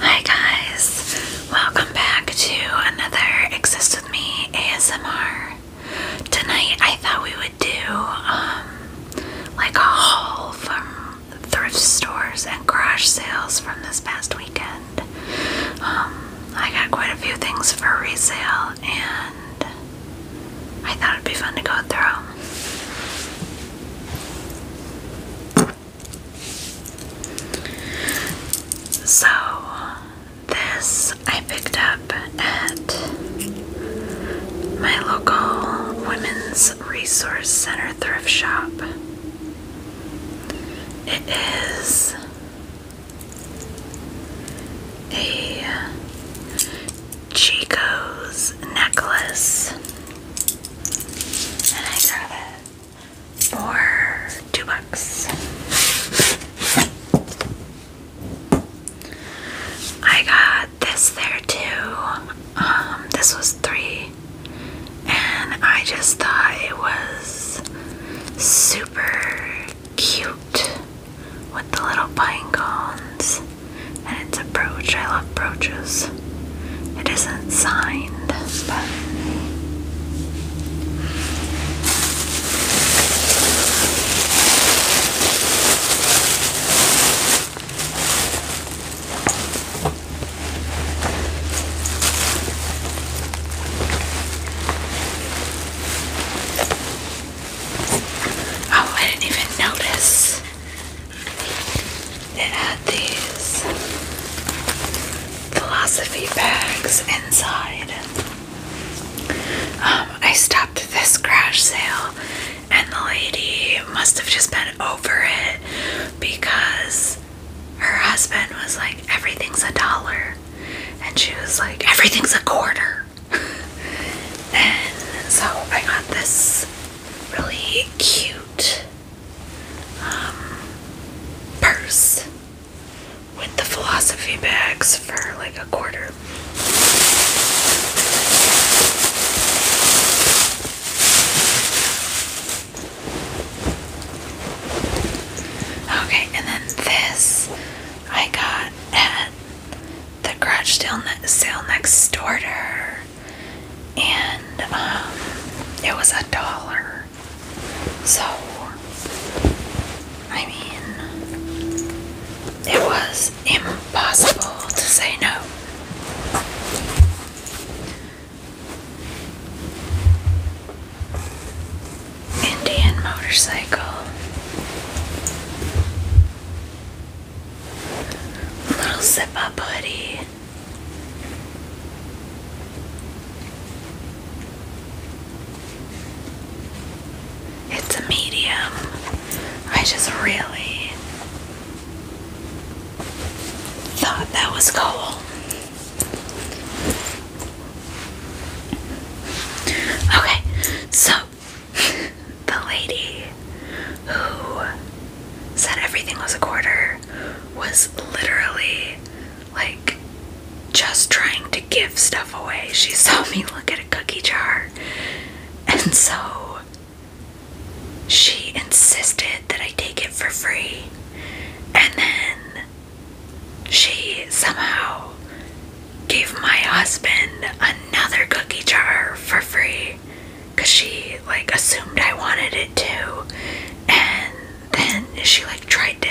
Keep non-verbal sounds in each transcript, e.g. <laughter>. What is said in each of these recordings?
Hi guys, welcome back to another Exist With Me ASMR. Tonight I thought we would do um, like a haul from thrift stores and garage sales from this past weekend. Um, I got quite a few things for resale and I thought it'd be fun to go through. So, this I picked up at my local Women's Resource Center thrift shop. It is a Chico's necklace. And I got it for two bucks. I got this there too. Um, this was three, and I just thought it was super cute with the little pine cones and its a brooch. I love brooches. It isn't signed, Oh, I didn't even notice. It had these philosophy bags inside. Um, I stopped this crash sale, and the lady must have just been over it because her husband was like, Everything's a dollar. And she was like, Everything's a quarter. <laughs> and so I got this really cute um, purse with the philosophy bags for like a quarter. Okay, and then this I got at the garage sale, sale next door and um, it was a dollar. So, I mean, it was impossible to say no. Indian motorcycle. Little zip up hoodie. It's a medium. I just really thought that was cool. Okay, so <laughs> the lady who said everything was a quarter was literally like just trying to give stuff away. She <laughs> saw me look at a cookie jar, and so she insisted that I take it for free. And then she somehow gave my husband another cookie jar for free because she like assumed I wanted it too. And then she like tried to,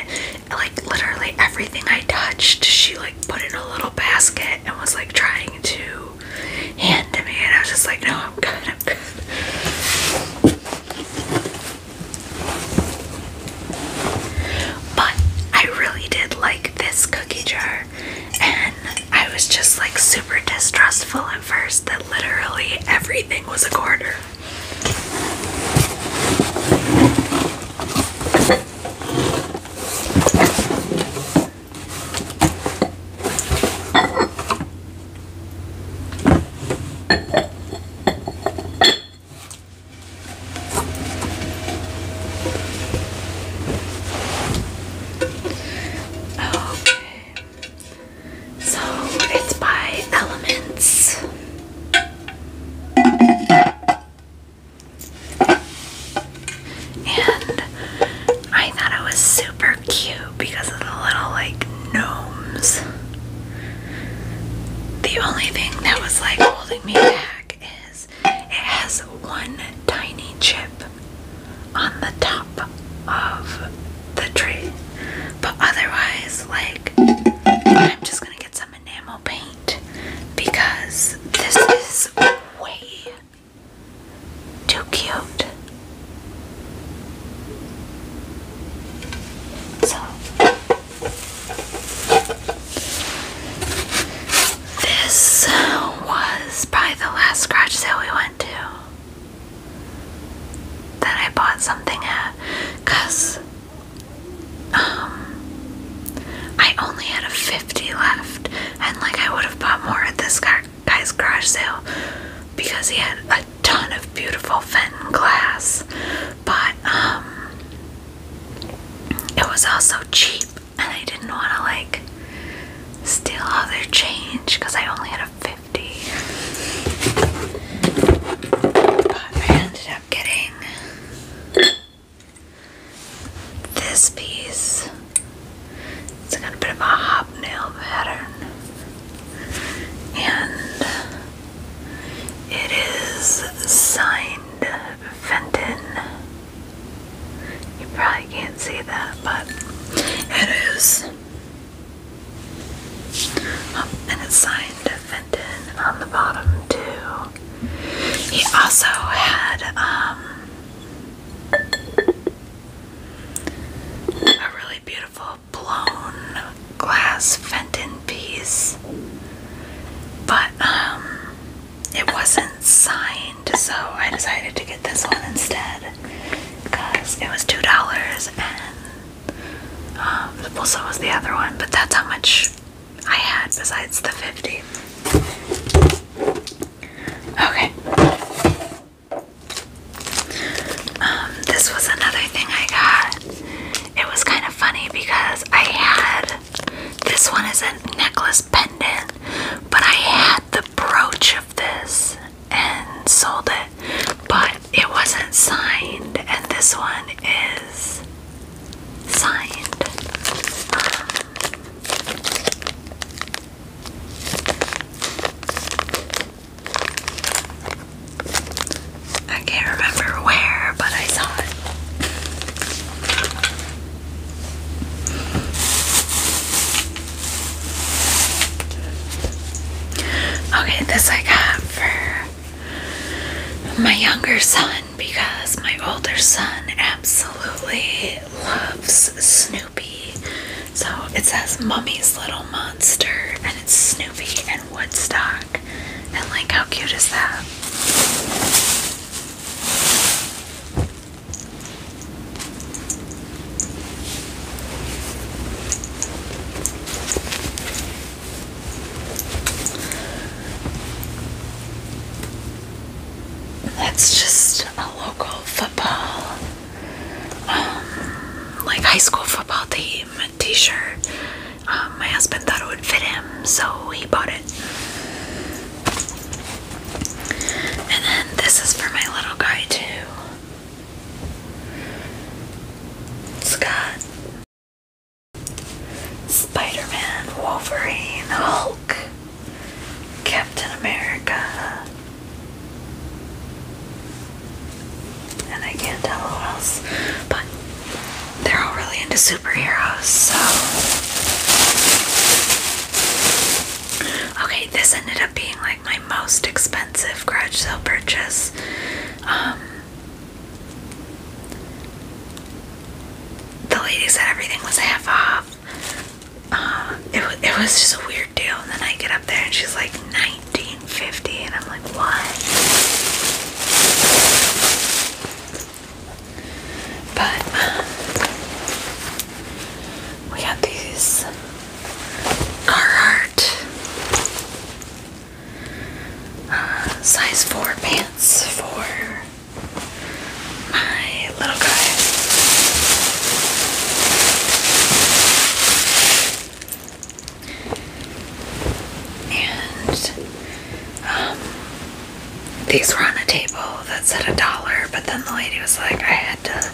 like, literally everything I touched, she like put in a little basket and was like trying to hand to me. And I was just like, no, I'm good, I'm good. But I really did like this cookie jar, I was just like super distrustful at first that literally everything was a quarter. Okay. So it's by Elements. And I thought it was super cute because of the little like gnomes. The only thing that was like holding me back is it has one tiny chip on the top of the tree. But otherwise, like, I'm just gonna get some enamel paint because this is way too cute. So, this was probably the last scratch sale we went to that I bought something at because um, I only had a 50 left and like I would have bought more at this guy's garage sale because he had a ton of beautiful Fenton glass but um it was also cheap and I didn't want to like steal all their change because I only had a 50. I ended up getting this piece. It's a bit of a hobnail pattern. And it is signed Fenton you probably can't see that, but it is. Um, and it's signed Fenton on the bottom, too. He also had um, a really beautiful blown glass Fenton piece, but um, it wasn't signed, so I decided to get this one instead because it was two dollars, and um, well, so was the other one, but that's how much I had besides the fifty. Okay. Um, this was another thing I got. It was kind of funny because I had this one is a necklace pendant, but I had the brooch of this and sold it, but it wasn't signed, and this one is signed. I can't remember where, but I saw it. Okay, this I got for my younger son because my older son absolutely loves Snoopy. So it says Mummy's Little Monster and it's Snoopy and Woodstock. And like, how cute is that? That's just a local football, um, like high school football team t shirt. Um, my husband thought it would fit him, so he bought it. And then this is for my little guy, too. It's got Spider Man, Wolverine, Hulk, Captain America. And I can't tell who else, but they're all really into superheroes, so. Okay, this ended up being like my most expensive garage sale purchase. Um, the lady said everything was half off. Uh, it, it was just a weird deal, and then I get up there and she's like 1950, and I'm like, what? But um, we have these Carhartt uh, size 4 pants for my little guy. And um, these were on a table that said a dollar, but then the lady was like, I had to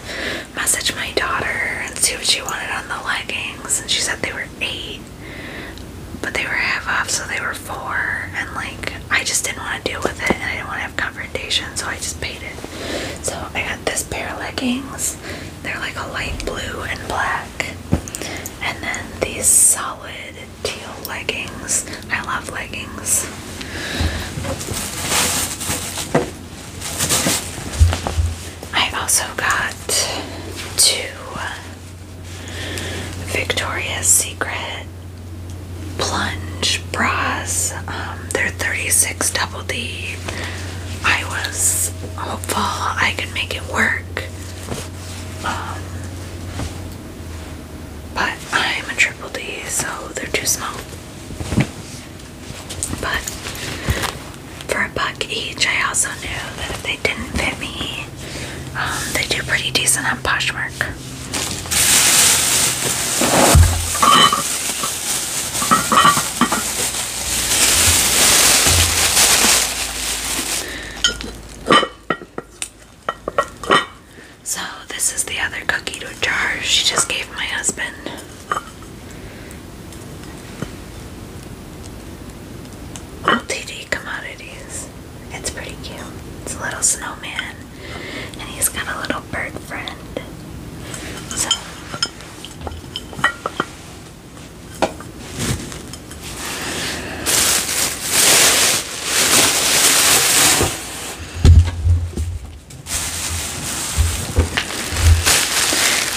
message my daughter and see what she wanted on the leggings, and she said they were eight, but they were half off, so they were four. And like, I just didn't want to deal with it, and I didn't want to have confrontation, so I just paid it. So I got this pair of leggings, they're like a light blue and black, and then these soft solid teal leggings. I love leggings. I also got two Victoria's Secret plunge bras. Um, they're 36 double D. I was hopeful I could make it work, um, but I'm a triple D, so they're too small. But for a buck each, I also knew that if they didn't fit me, um, they do pretty decent on Poshmark. So, this is the other cookie dough jar she just gave my husband. LTD commodities. It's pretty cute. It's a little snowman, and he's got a little bird friend. So,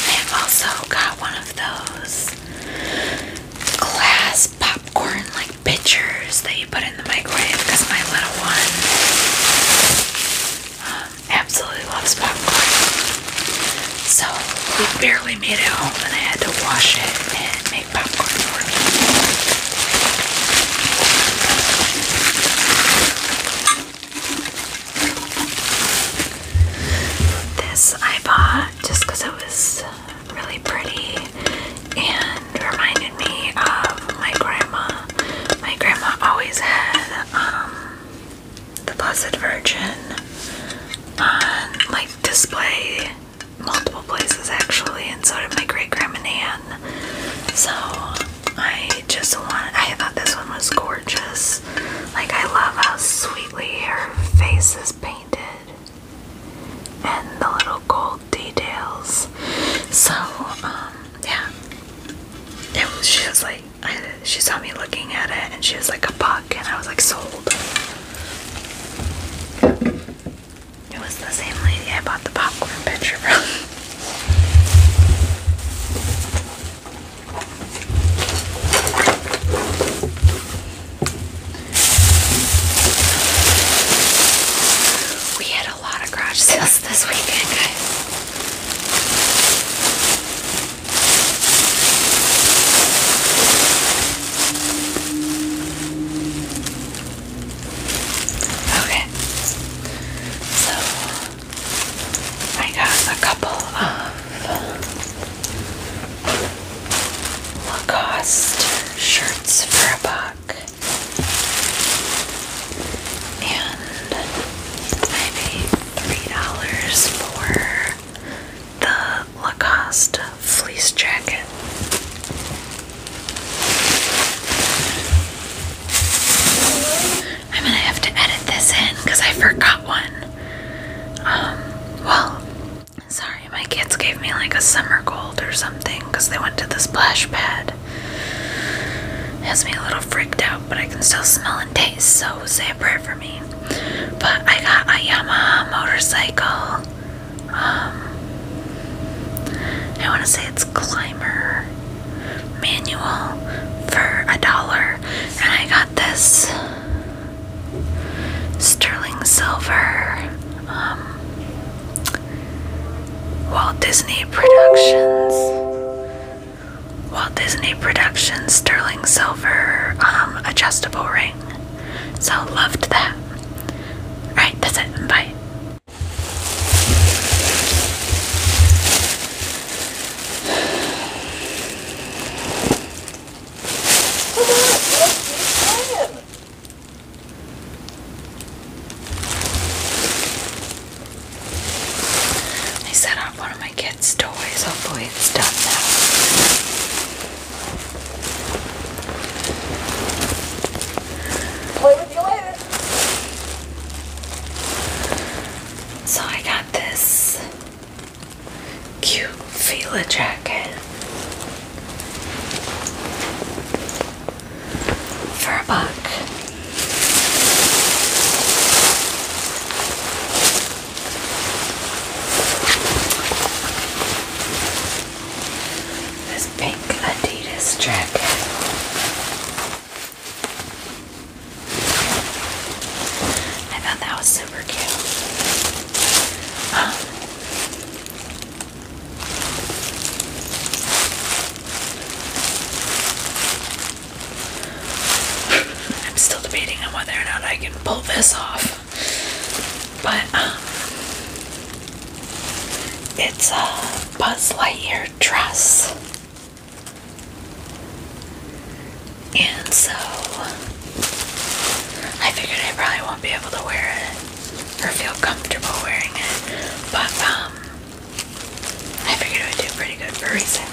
I've also got one of those glass popcorn like pitchers that you put in the microwave because my little one um, absolutely loves popcorn. So we barely made it home and I had to wash it and make popcorn for me. This I bought just because it was really pretty and reminded me of my grandma. My grandma always had um, the Blessed Virgin on like display multiple places actually, and so did my great grandma and So I just want I thought this one was gorgeous. Like I love how sweetly her face is painted and the little gold details. So um yeah. It was just like <laughs> she saw me looking at it and she was like a buck and I was like sold. It was the same lady I bought the popcorn picture from. We had a lot of garage sales <laughs> this weekend, guys. Okay, so I got a couple of Lacoste shirts for a buck, and maybe three dollars for the Lacoste fleece jacket. I'm gonna have to edit this in because I forgot one. Um, well, sorry, my kids gave me like a summer cold or something because they went to the splash pad. It has me a little freaked out, but I can still smell and taste, so say a prayer for but I got a Yamaha motorcycle. Um, I want to say it's climber manual for a dollar, and I got this sterling silver um, Walt Disney Productions Walt Disney production sterling silver um, adjustable ring. So loved that. Alright, that's it. Bye. Oh, I set up one of my kids' toys. Hopefully, it's done now. Play with you later. So I got this cute Fila jacket for a buck. This pink Adidas jacket. I thought that was super cute. I'm still debating on whether or not I can pull this off. But um it's a Buzz Lightyear dress. And so I figured I probably won't be able to wear it or feel comfortable wearing it. But um I figured i would do pretty good for a reason.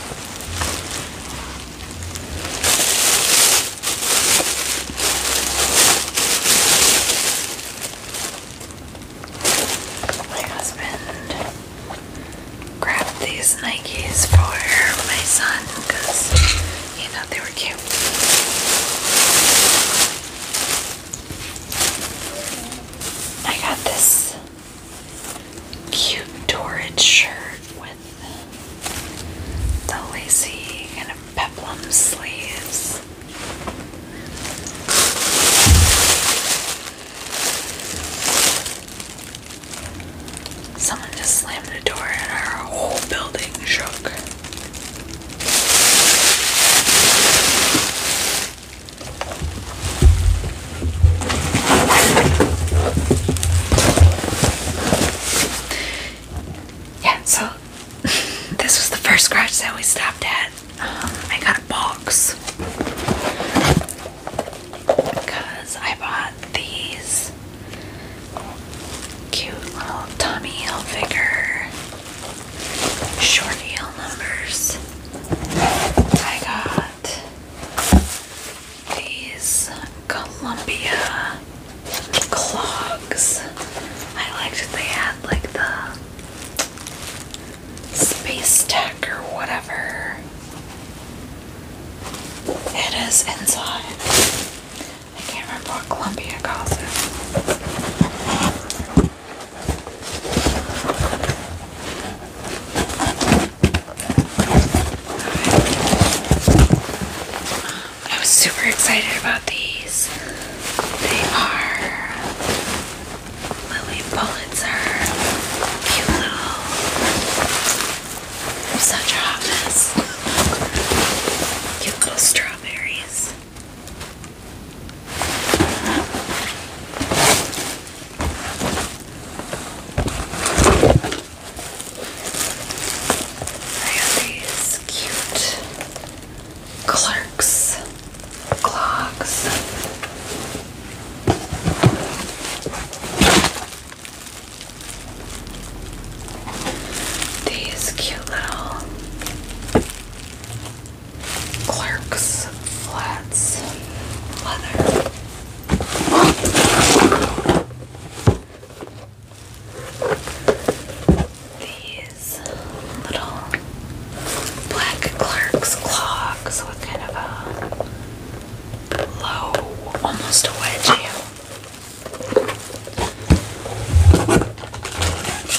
My husband grabbed these Nikes for my son because he they were cute. I got this cute Torrid shirt with the lacy kind peplum sleeves. Someone just slammed the door and our whole building shook. Yeah, so <laughs> this was the first garage that we stopped at. Um, I got a box because I bought these cute little Tommy Hilfiger short heel numbers. I got these Columbia clogs. I liked that they had like the space tech or whatever it is inside. I can't remember what Columbia calls it. I was super excited about these. They are Lily Pulitzer. Cute little. such a Cute little strawberries. I have these cute clerks, clogs. These cute little Clerks Flats leather. These little black Clerks clogs with kind of a low, almost a wedge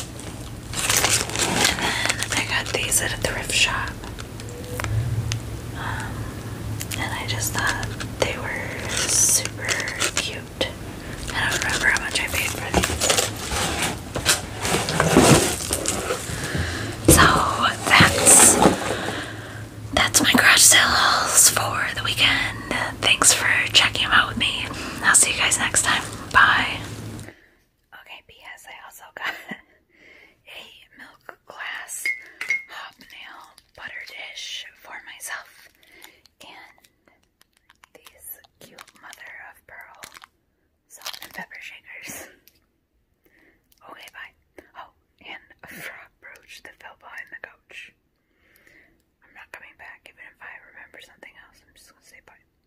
and then I got these at a thrift shop. Um, and I just thought they were super cute. I don't remember how much I paid for these. So that's that's my garage sales for the weekend. Thanks for checking them out with me. I'll see you guys next time. Bye. Okay, P.S. I also got <laughs> a milk glass hobnail butter dish for myself and these cute mother of pearl salt and pepper shakers. Okay, bye. Oh, and a frog brooch that fell behind the couch. I'm not coming back even if I remember something else. I'm just gonna say bye.